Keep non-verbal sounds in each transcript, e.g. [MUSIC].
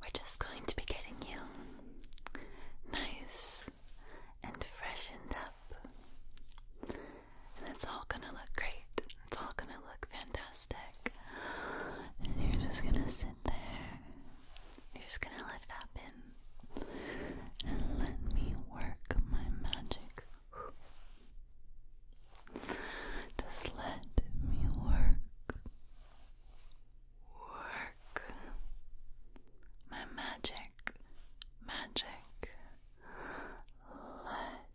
we're just going to be getting you nice and freshened up. And it's all gonna look great. It's all gonna look fantastic. And you're just gonna sit there. You're just gonna let it happen. And let me work my magic. Just let me work, work my magic, magic. Let,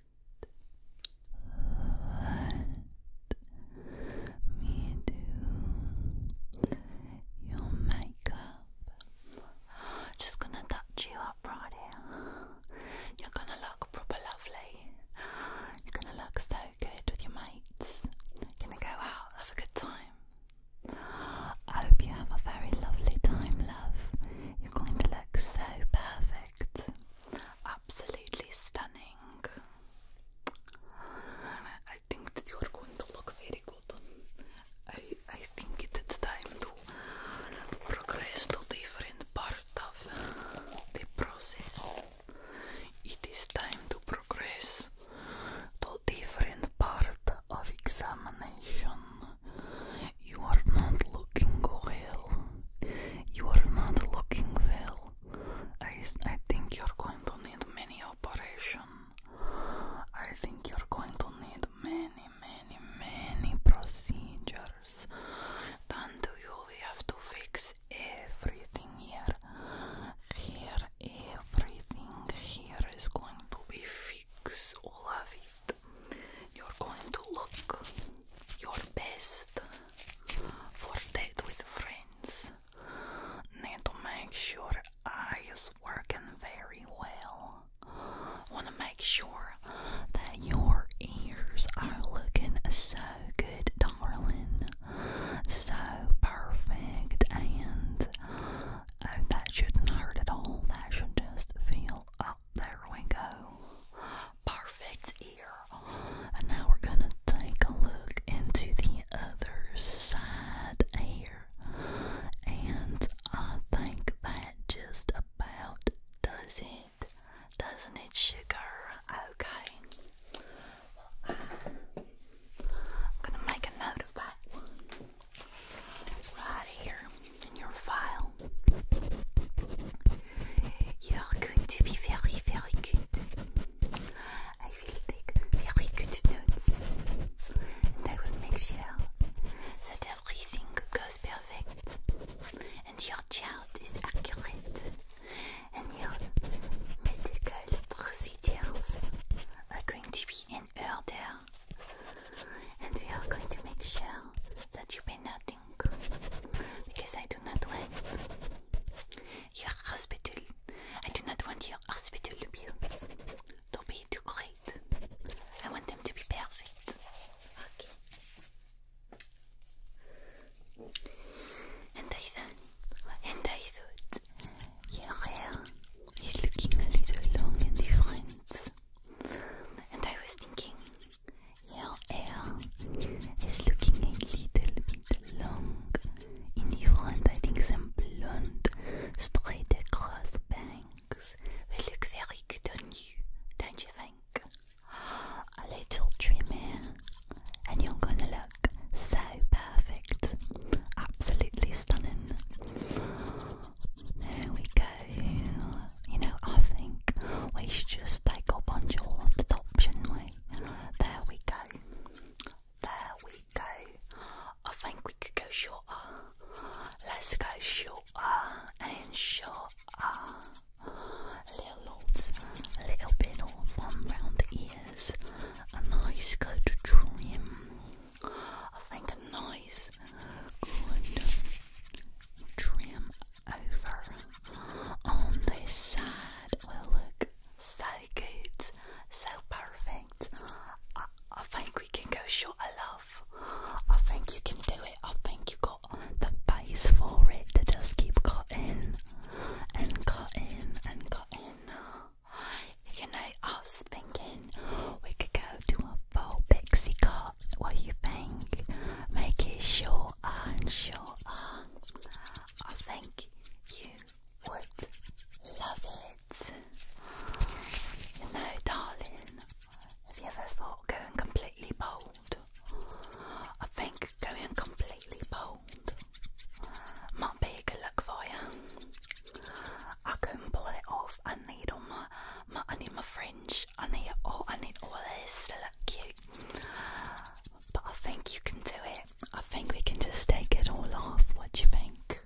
let me do your makeup. Just gonna touch you up right here. You're gonna look proper lovely. You're gonna look so good with your mates. Gonna go out, have a good time. I hope you have a very lovely time, love. You're going to look so perfect. Absolutely stunning. I think that you're going to look very good. I, I think it is time to progress to different part of the process. It is time to progress to different part of examination. You are not looking well. You are not looking well. I, I think you're going to need many operation. I think you're going to need many, many, many procedures. Done to you, have to fix everything here. Here, everything here is going to be fixed, all of it. You're going to look your best for that with friends. Need to make sure eyes working very well. Want to make sure that your ears are looking so good, darling so perfect, and oh, that shouldn't hurt at all. That should just feel up. there we go. Perfect ear. And now we're gonna take a look into the other side here, and I think that just about does it, doesn't it, sugar? Okay. I'm gonna make a note of that right here in your file. You're going to be very, very good. I will take very good notes and I will make sure that everything goes perfect and your chart is accurate. New medical procedures are going to be in order, and we are going to make sure that you pay nothing because I do not want your hospital. I do not want your hospital bills to be too great. I want them to be perfect. Okay. And I thought, yeah, I thought, looking a little long in the front. And I was thinking, yeah, hair is looking a little bit long, in the front. I think some blonde, straight across bangs will look very good on you, don't you think? [GASPS] A little trim here, and you're gonna look so perfect, absolutely stunning. There we go. You know, I think we should just take a bunch all of the top, shouldn't we? There we go. There we go. I think we could go shorter. Let's go shorter and shorter a little bit of one round the ears, a nice coat trim. I think a nice, good trim over on this side will look so good, so perfect. I, think we can go short of love. I think you can do it. I think you got the base for it to just keep cutting and cotton and cotton. You know, I was thinking we could go to a full pixie cut. What do you think? Make it shorter and shorter. I think you would love it. You know, darling, have you ever thought going completely bold? I think going completely bold might be a good look for you. I couldn't pull it off. I need all my, my I need my fringe. I need all I need all this to look cute. But I think you can do it. I think we can just take it all off. What do you think?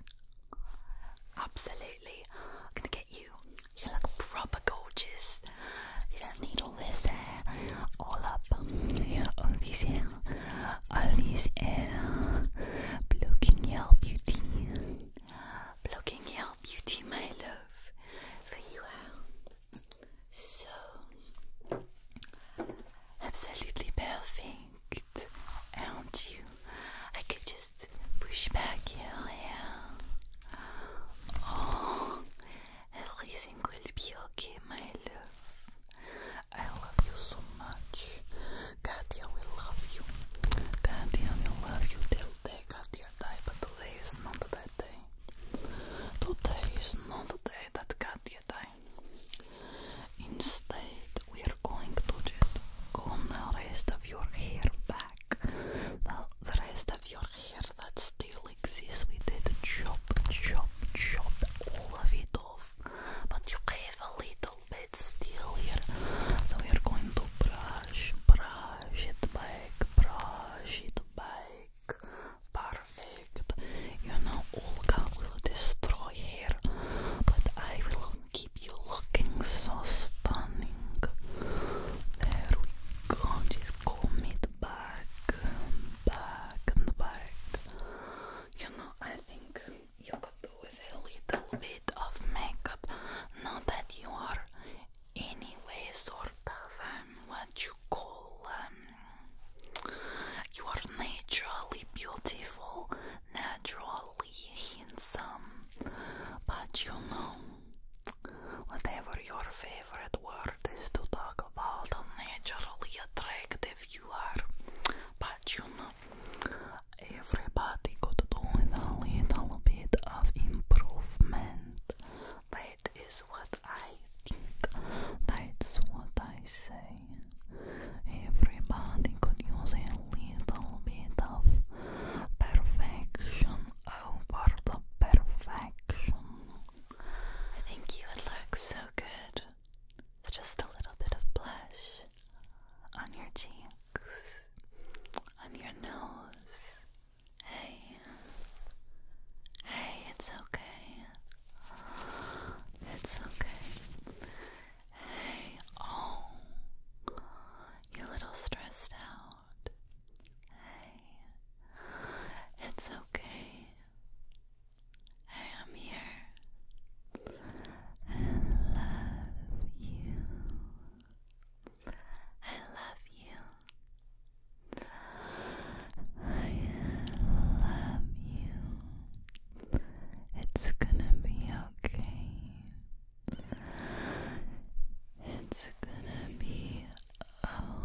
Absolutely. I'm gonna get you. You are look proper gorgeous. You don't need Entonces, eh, hola, this Alicia, blocking your beauty, blocking your beauty, my love, for you are so absolutely perfect, aren't um, you? I could just push back your hair. Oh, Everything will be okay, my love. I love you so much. Katya will love you. Katya will love you till day Katya die, but today is not that day. Today is not the day that Katya die. Instead, we are going to just comb the rest of your hair back. Well, the rest of your hair that still exists, we did chop, chop, chop all of it off but you have a little bit still here. So we are going to brush, brush it back, brush it back. Perfect. You know, Olga will destroy hair, but I will keep you looking so stunning. There we go. Just comb it back, back and back. You know, I think you could do with a little bit of makeup. Not that you are, anyway, sort of um, what you call um, you are naturally beautiful, naturally handsome. But you know, whatever your favorite word is to talk about, naturally attractive if you are, but you know, everybody could do with a little bit of improvement. That is what I think. That's what I say. Everybody could use a little bit of perfection over the perfection. I think you would look so good just a little bit of blush on your cheeks, on your nose. Hey, hey, it's okay. It's okay. Hey, oh, you're a little stressed out. Hey, it's okay. I am here and love you. I love you. I love you. It's gonna be okay. It's gonna be okay.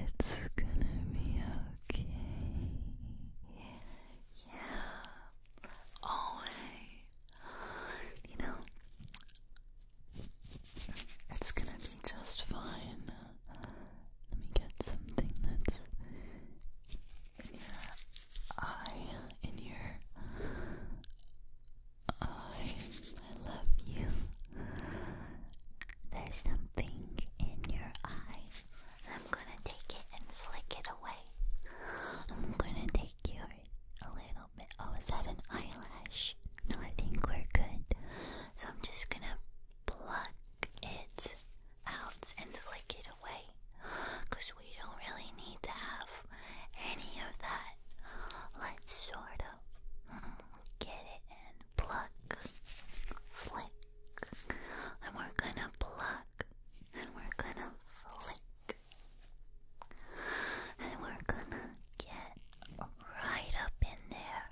It's gonna be okay. Yeah, always. You know, it's gonna be just fine. Let me get something that's eye, in your eye. I love you. There's something in your eye. I'm gonna take it and flick it away. I'm gonna take you a little bit. Oh, is that an eyelash? No, I think we're good. So I'm just gonna pluck it out and flick it away because we don't really need to have any of that. Let's sort of hmm, get it in. Pluck, flick, and we're gonna pluck, and we're gonna flick, and we're gonna get right up in there,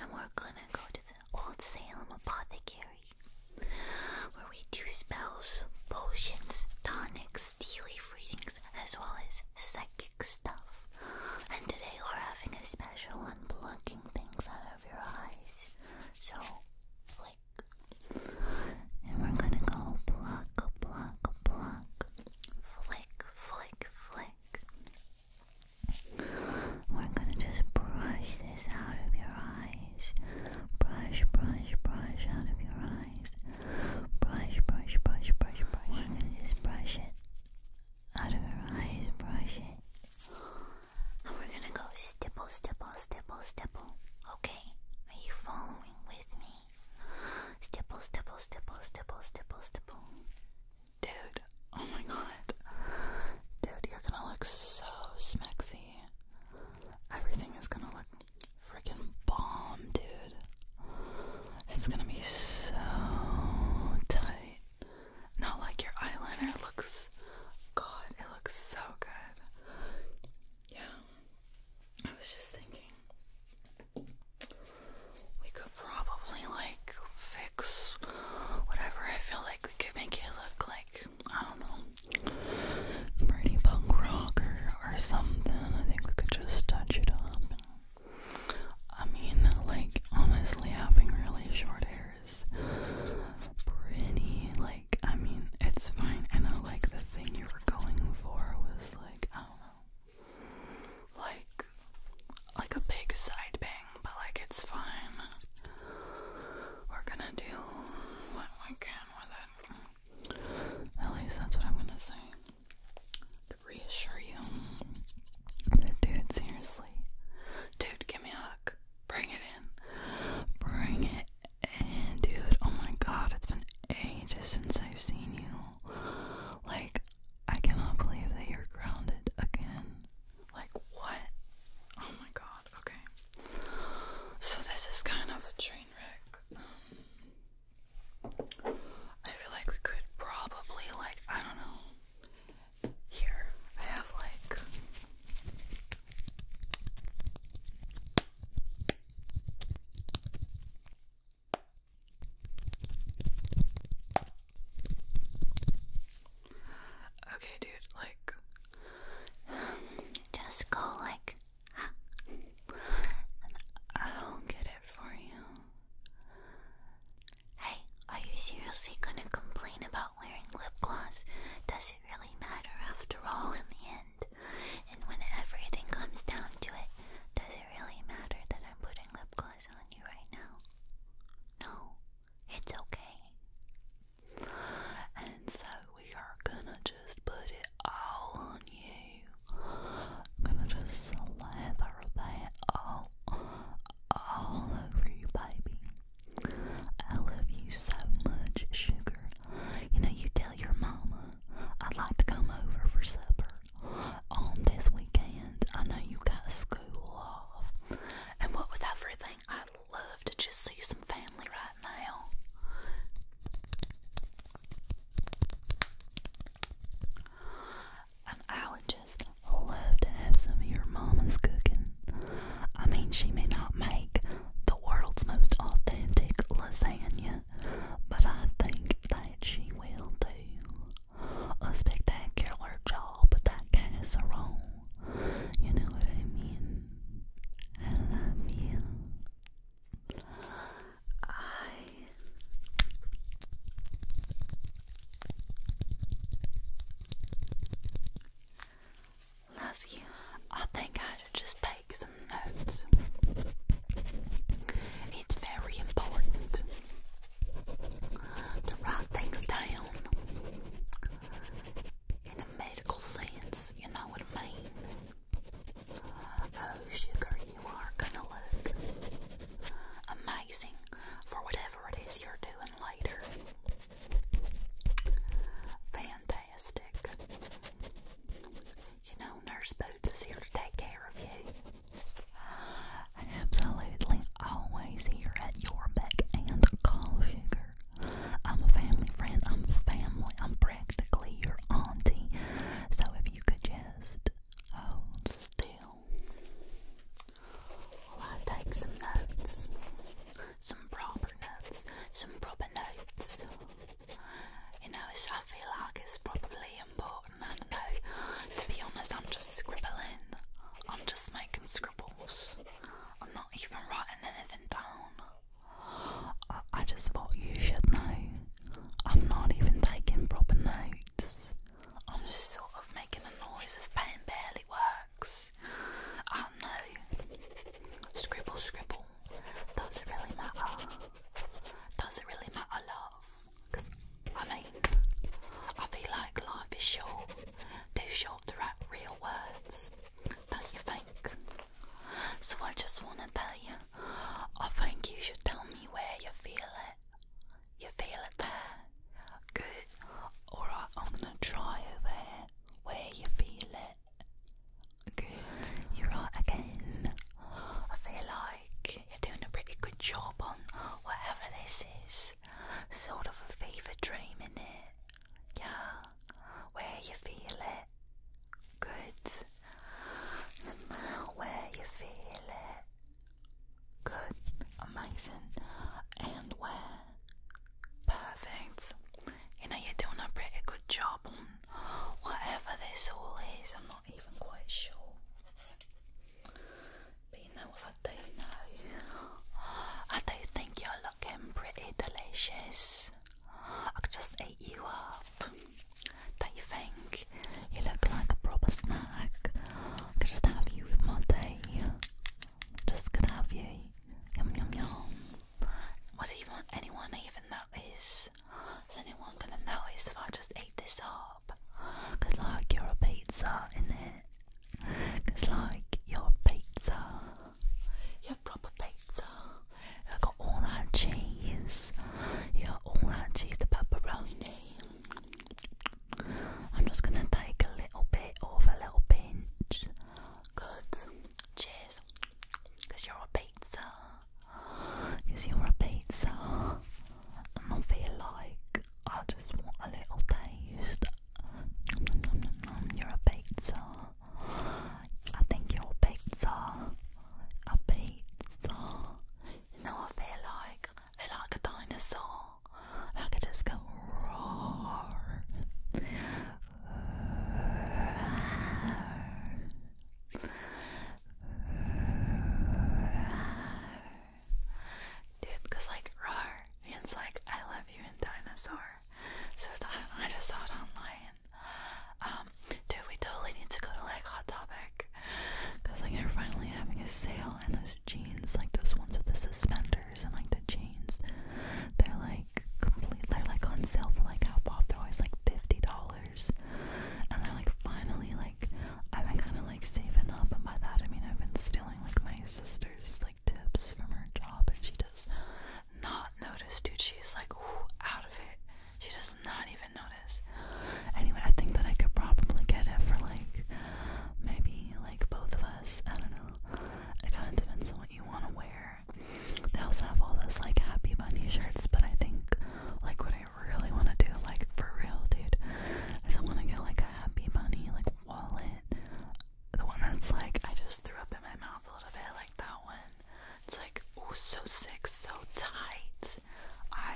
and we're gonna go to the Old Salem Apothecary. Library, where we do spells, potions, tonics, tea leaf readings, as well as psychic stuff. And today we're having a special unblocking things out of your eyes. So, flick. And we're gonna go pluck, pluck, pluck, flick, flick, flick. We're gonna just brush this out of your eye eyes. Brush, brush, brush out of your eyes. Brush, brush, brush, brush, brush. We're gonna just brush it out of your eyes. Brush it. And we're gonna go stipple, stipple, stipple, stipple. Okay, are you following with me? Stipple, stipple, stipple, stipple, stipple, stipple. Dude, oh my god. Dude, you're gonna look so smexy. Everything is gonna look freaking bomb, dude. It's gonna be so tight. Not like your eyeliner looks. God, it looks so good. Yeah. I was just thinking. We could probably like fix whatever I feel like we could make it look like. I don't know, pretty punk rock or something. I think we could just touch it up. I mean, like, honestly, having really short hair is pretty, like, I mean, it's fine. I know, like, the thing you were going for was, like, I don't know, like, like a big side bang, but, like, it's fine. We're gonna do what we can with it. At least that's what I'm gonna say. To reassure you. dude, seriously. Dude, give me a hug. Bring it in. Bring it in, dude. Oh my god, it's been ages since I've seen you. Like, I cannot believe that you're grounded again. Like, what? Oh my god, okay. So, this is kind of a dream. Um, I feel like we could probably, like, I don't know. Here, I have like. Okay, dude, like. Just go like I'll get it for you. Hey, are you seriously gonna complain about wearing lip gloss? Does it really matter after all in the end? And when everything comes down to it, does it really matter that I'm putting lip gloss on you right now? No, it's okay. And so we are gonna just put it all on you. I'm gonna just slather that all, all over you, baby. I love you so much, sugar. You know, you tell your mama I'd like to come over for supper on this weekend. I know you got school off. And what with everything, I'd love to just see some family right now. And I would just love to have some of your mama's cooking. I mean, she may not make the world's most authentic lasagna, but I think that she will do a spectacular job with that casserole. You know what I mean? I love you. I love you. I think I should just take some notes. It's very important to write things down in a medical sense, you know what I mean? Oh, sugar, you are gonna look amazing for whatever it is you're doing later. Fantastic. You know, Nurse Boots is here to take care of you. Absolutely always here at your beck and call, sugar. I'm a family friend, I'm family, I'm practically your auntie. So if you could just hold still while I take some notes, some proper notes, some proper notes. You know, it's, I feel like it's probably important. I don't know. To be honest, I'm just scribbling. I'm just making scribbles. I'm not even writing anything down. I, just thought you should know. I'm not even taking proper notes. I'm just sort of making a noise. as pen barely works. I know. Scribble, scribble. Does it really matter? Does it really matter, love? Because, I mean, I feel like life is short. Too short to write real words. Don't you think? So I just want to tell you I think you should tell me where you feel it. You feel it there? Good. Alright, I'm gonna try over where you feel it. Good. You're right again. I feel like you're doing a pretty good job on whatever this is. Sort of a fever dream in it. Yeah. Where you feel it. Good. And where you feel it. Good. Amazing. And where? Perfect. You know, you're doing a pretty good job on whatever this all is. I'm not even quite sure. But you know what I do know? I do think you're looking pretty delicious. I could just eat you up. Don't you think? You look like a proper snack. I could just have you with my day. Just could have you. Yum yum yum. What do you want anyone even notice? Is anyone gonna notice if I just eat this up? like you're a pizza, innit? Cause like you're pizza. You're proper pizza. I got all cheese. You got all 이거 cheese, the pepperoni I'm just gonna take a little bit of a little pinch good cheers cause you're a pizza cause you're a pizza and I feel like I just want a little taste you're a pizza I think you're a pizza a pizza. You know, I feel like, I like a dinosaur. Like I just go roar. roar. like roar means like I love you in dinosaur. So I just saw it online um, dude, we totally need to go to like Hot Topic. Cause like they're finally having a sale and those jeans, like those ones with the suspenders and like the jeans, they're like complete they're like on sale for like half off. They're always like fifty dollars. And they're like finally like I've been kinda like saving up and by that I mean I've been stealing like my sister's like tips from her job and she does not notice dude she's like ooh out of it she does not even notice. Anyway, I think that I could probably get it for like maybe like both of us. I don't know. It kind of depends on what you want to wear. They also have all those like happy bunny shirts, but I think like what I really want to do, like for real, dude, is I want to get like a happy bunny like wallet. The one that's like I just threw up in my mouth a little bit, like that one. It's like, oh, so sick, so tight. I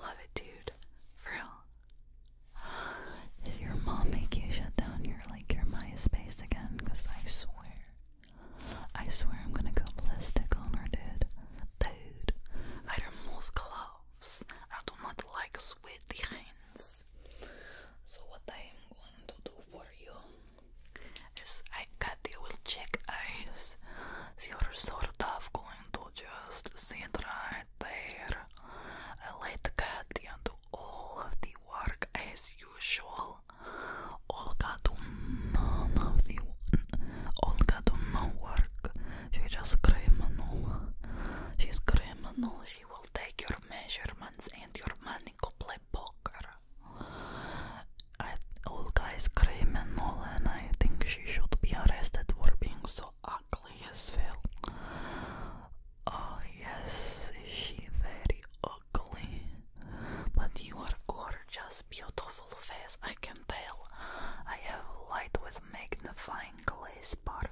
love it, dude. real. Did your mom make you shut down your like your MySpace again? Cause I swear, I swear I'm gonna go ballistic on her, dude. Dude, I remove gloves. I do not like sweaty hands. So what I am going to do for you is I got the will check eyes. So you sort of going to just sit right there. I let Katia do all of the work as usual. Olga do none of the Olga do no work. She's just criminal. She's criminal. She will take your measurements and your money. Go play poker. Olga is criminal and I think she should be arrested for being so ugly as well. Oh yes, she very ugly? But you are gorgeous, beautiful face, I can tell. I have light with magnifying glass part.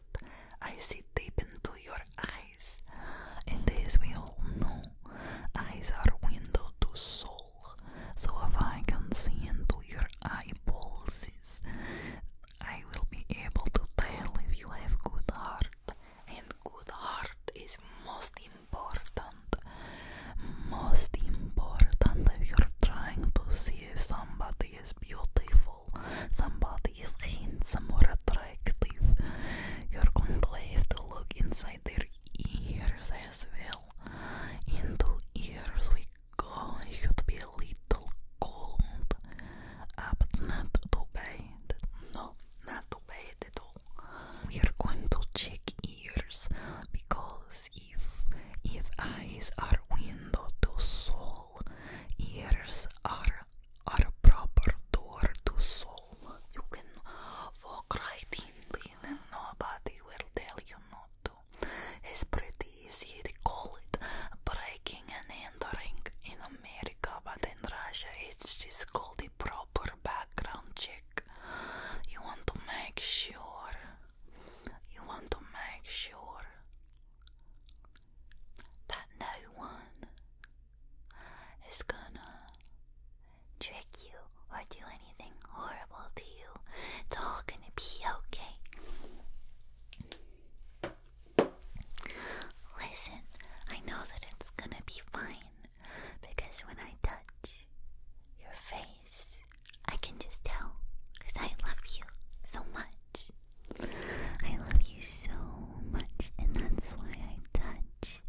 I see deep into your eyes. And as we all know, eyes are window to soul. So if I can see into your eyeballs, I will be able to tell if you have good heart. And good heart is most important. Most important if you're trying to see if somebody is beautiful, somebody is handsome or attractive. You're going to have to look inside their ears as well. Into ears we go, should be a little cold, ah, but not too bad. No, not too bad at all. We are going to check ears because if if eyes are window to soul, ears are are proper door to soul. You can walk right in and nobody will tell you no. It's pretty easy to call it breaking and entering in America, but in Russia it's just called a proper background check. You want to make sure, you want to make sure that no one is gonna trick you, or do anything horrible to you. It's all gonna be okay. Listen, I know that it's gonna be fine because when I touch your face, I can just tell because I love you so much. I love you so much, and that's why I touch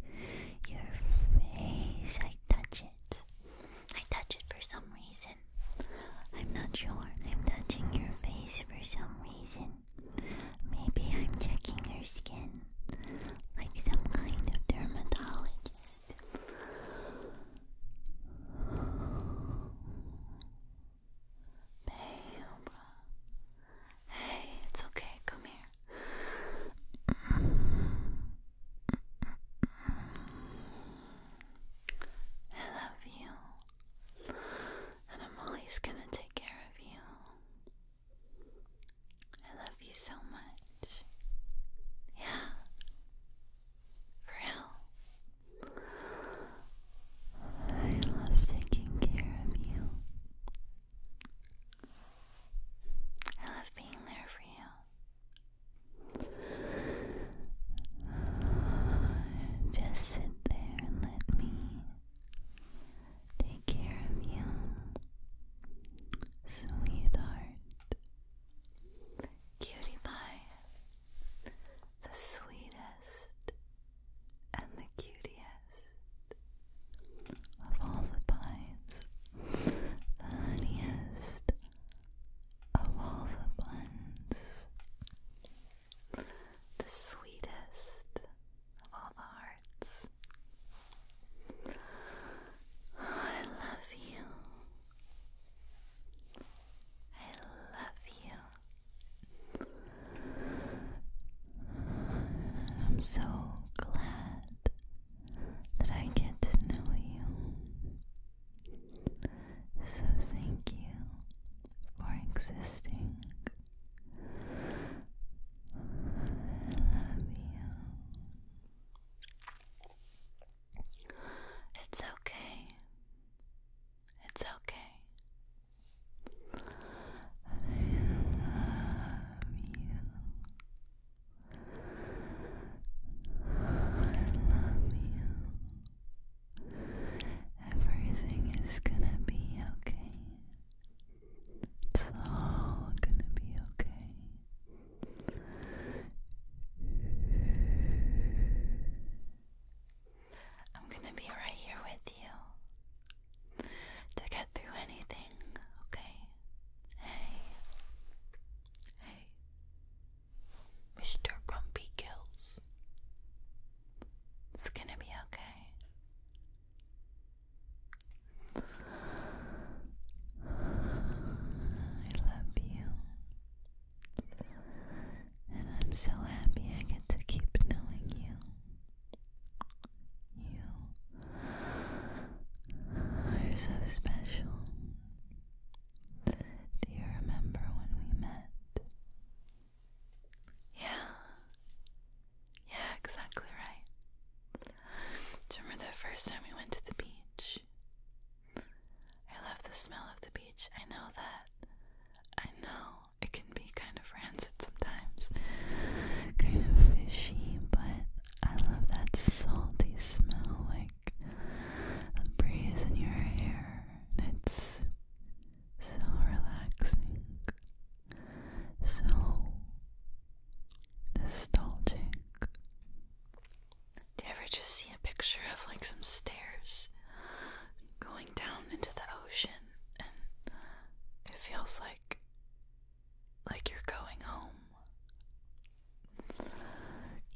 your face. I touch it. I touch it for some reason. I'm not sure. I'm touching your face for some reason. Maybe I'm checking your skin like some kind of dermatologist. Babe. Hey, it's okay. Come here. I love you. And I'm always going to take care of you. I love you so much. Yeah. real. I love taking care of you. I love being there for you. Just sit there and let me take care of you, sweetheart. Cutie pie, the sweetest and the cutest of all the pies, the honeyest of all the buns, the sweetest of all the hearts. I love you. I love you. I'm so glad that I get to know you. So, thank you for existing. I love you. It's okay. It's okay. I love you. I love you. Everything is gonna be okay. It's all gonna be okay. I'm gonna be right here with you to get through anything, okay? Hey, hey, Mr. Grumpy Gills. It's gonna be okay. I love you. And I'm so happy I get to keep knowing you. You are so special. Do you remember when we met? Yeah. Yeah, exactly right. remember the first time we went to the beach? I love the smell of the beach. I know that. I know it can be kind of rancid sometimes, kind of fishy, but I love that salty smell. Like, the breeze in your hair, and it's so relaxing, so nostalgic. Do you ever just see a picture of like some stairs going down into the ocean and it feels like like you're going home?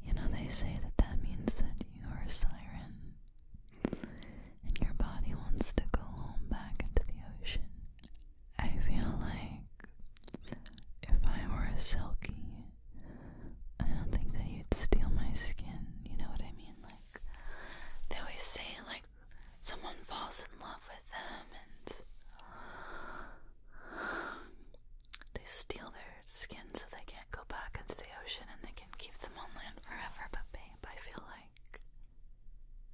You know, they say that that means that you are a siren and your body wants to go home back into the ocean. I feel like if I were a silky, I don't think that you'd steal my skin. You know what I mean? Like, they always say, like, someone falls in love with them and they steal their skin so they can't go back into the ocean and they can keep them on land forever. But babe, I feel like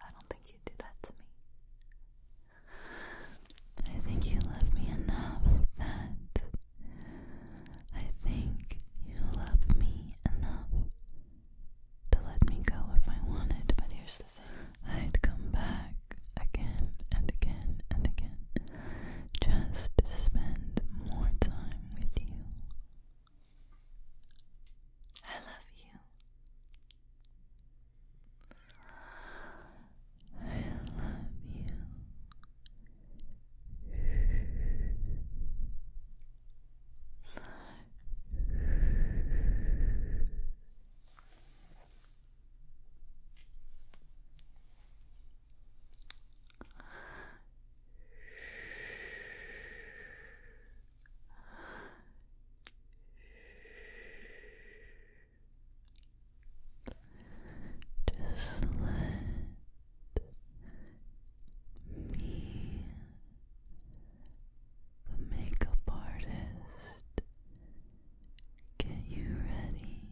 I don't think you'd do that to me. I think you love me enough that I think you love me enough to let me go if I wanted. But here's the thing I'd come back again and again and again just spend more time with you. I love you. I love you. Just let me, the makeup artist, get you ready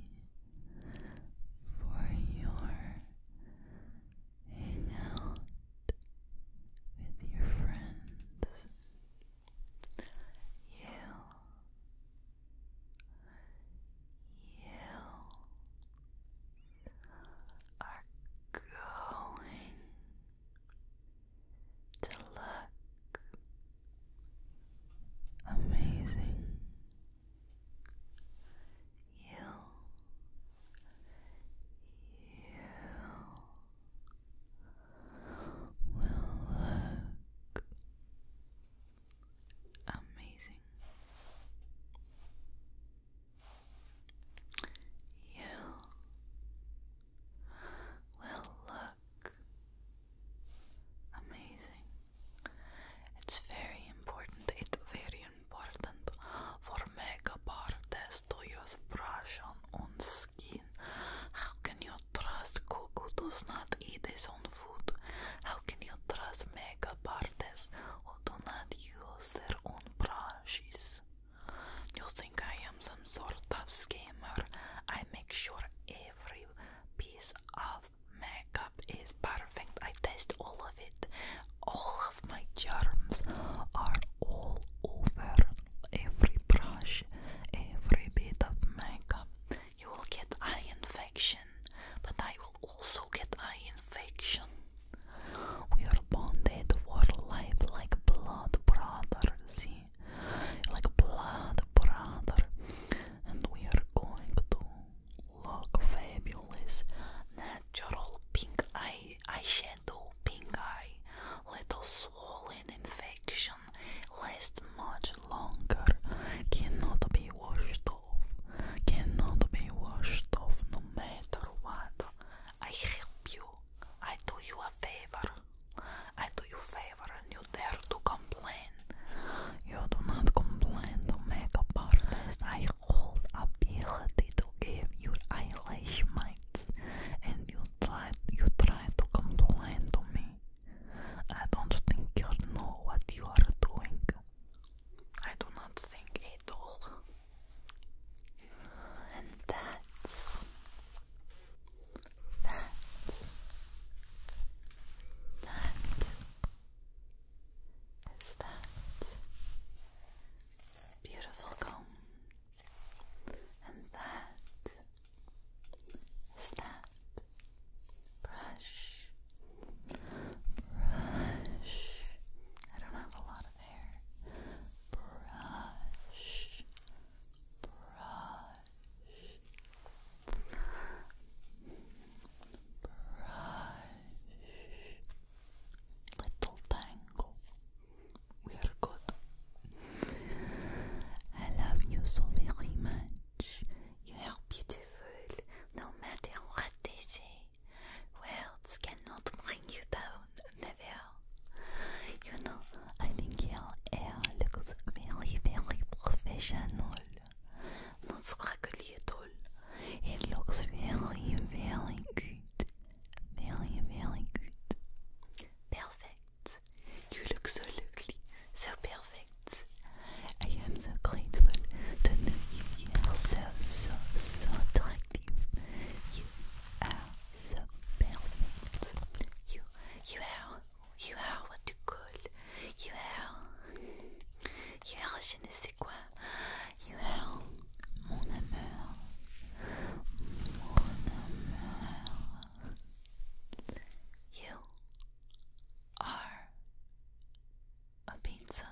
for your hangout with your friends. You, you are going to look amazing you you will look amazing. You will look amazing. It's very important, it's very important for makeup artists to use brushes on, on skin. How can you trust cook who does not eat his own food? How can you trust makeup artists who do not use their own brushes? You think I am some sort of scammer? I make sure every piece of makeup is perfect. I taste all of it. All of my germs are all over every brush, every bit of makeup. You will get eye infection, but I will also get eye infection. We are bonded for life like blood brother, see? Like blood brother. And we are going to look fabulous. Natural pink eye eyeshadow, pink eye, little swollen infection, lasts much longer, cannot be washed off, cannot be washed off no matter what. I help you, I do you a favor, I do you favor, and you dare to complain. You do not complain to makeup artist. I hold ability to give your English mites, and you try you try to complain to me. I don't think you know what you are doing. I do not think at all. And that's that. That is that beautiful comb, and that is that brush, brush. I don't have a lot of hair. Brush, brush brush, little tangle. We are good. I love you so very much. You are beautiful, no matter what they say. Words cannot bring you down, never. You know, I think your hair looks very, very professional. Not scraggly at all. It looks very, very good. Very, very good. Perfect. You look so lovely, so perfect. I am so grateful to know you. so, so, so attractive. You are so perfect. You, you are, you are what you you Yuel, je ne sais quoi. Yuel, mon amour, mon amour. You are a pizza.